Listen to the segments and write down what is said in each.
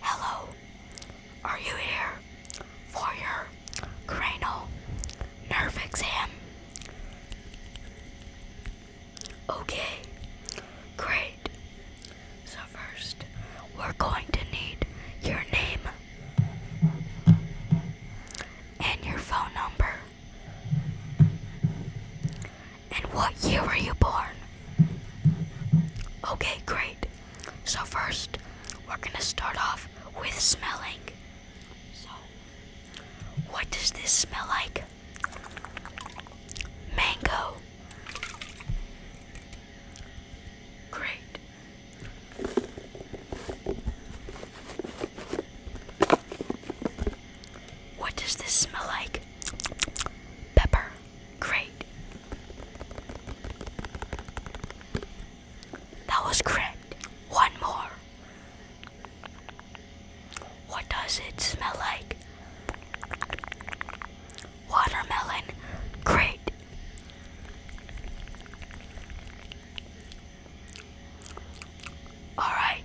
Hello, are you here for your cranial nerve exam? Okay, great. So, first, we're going to need your name and your phone number and what year were you born? Okay, great. So, first, we're gonna start off with smelling. So, what does this smell like? Mango. Great. What does this smell like? Pepper. Great. That was correct. One more. What does it smell like? Watermelon. Great. Alright,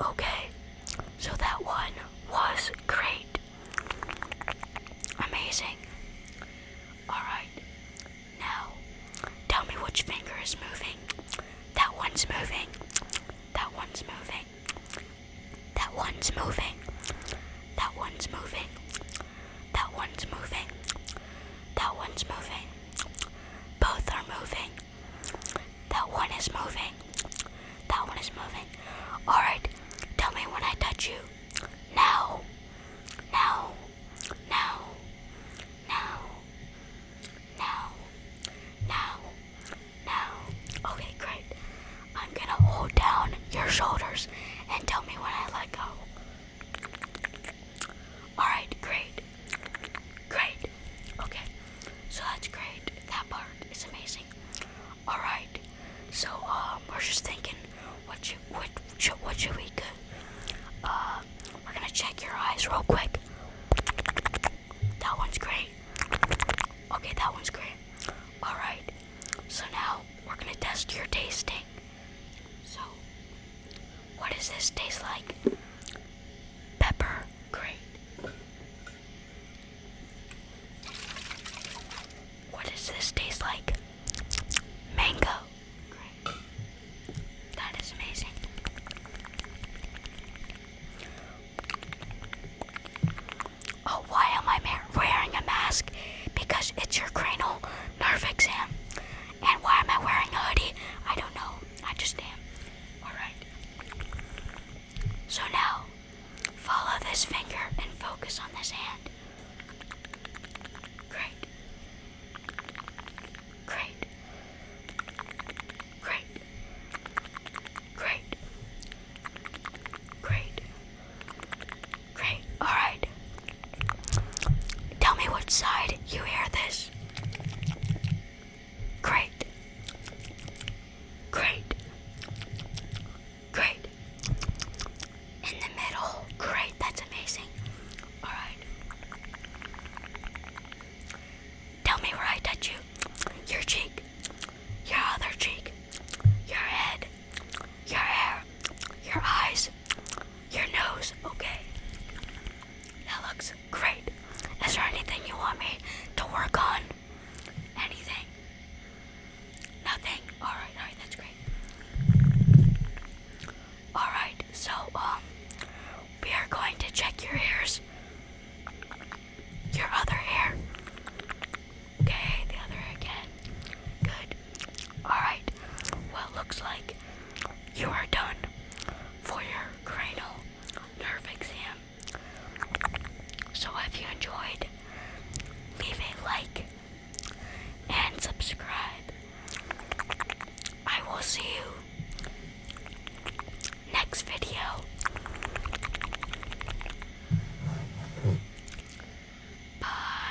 Okay, so that one was great. Amazing. Alright, now tell me which finger is moving. That one's moving. That one's moving. That one's moving. That one's moving. That one's moving. That one's moving. Both are moving. That one is moving. That one is moving. Alright, tell me when I touch you. Now. Now. Now. Now. Now. Now. Now. Okay, great. I'm gonna hold down your shoulders and tell me when I let go. Alright, great. Great. Okay. So that's great. That part is amazing. Alright. So um we're just thinking what should what what should we do? Uh we're gonna check your eyes real quick. That one's great. Okay, that one's great. Alright. So now we're gonna test your tasting. So what does this taste like? Pepper. Great. What does this taste like? Mango. Great. That is amazing. Oh, why am I wearing a mask? Because it's your cranial nerve exam. And why am I wearing a hoodie? I don't know. I just am. Alright. So now, follow this finger and focus on this hand. Great. Great. Great. Great. Great. Great. All right. Tell me which side you hear this. Great. Great. Great. In the middle. Great. That's amazing. All right. Tell me where I touch you. Your cheek. Your other cheek. Your head your hair, your eyes, your nose. Okay. That looks great. Is there anything you want me to work on? Anything? Nothing? Alright, alright, that's great. Alright, so, um, we are going to check your ears. Your other hair. Okay, the other again. Good. Alright, well, looks like you are done for your cranial nerve exam. So if you enjoyed, leave a like and subscribe. I will see you next video. Bye.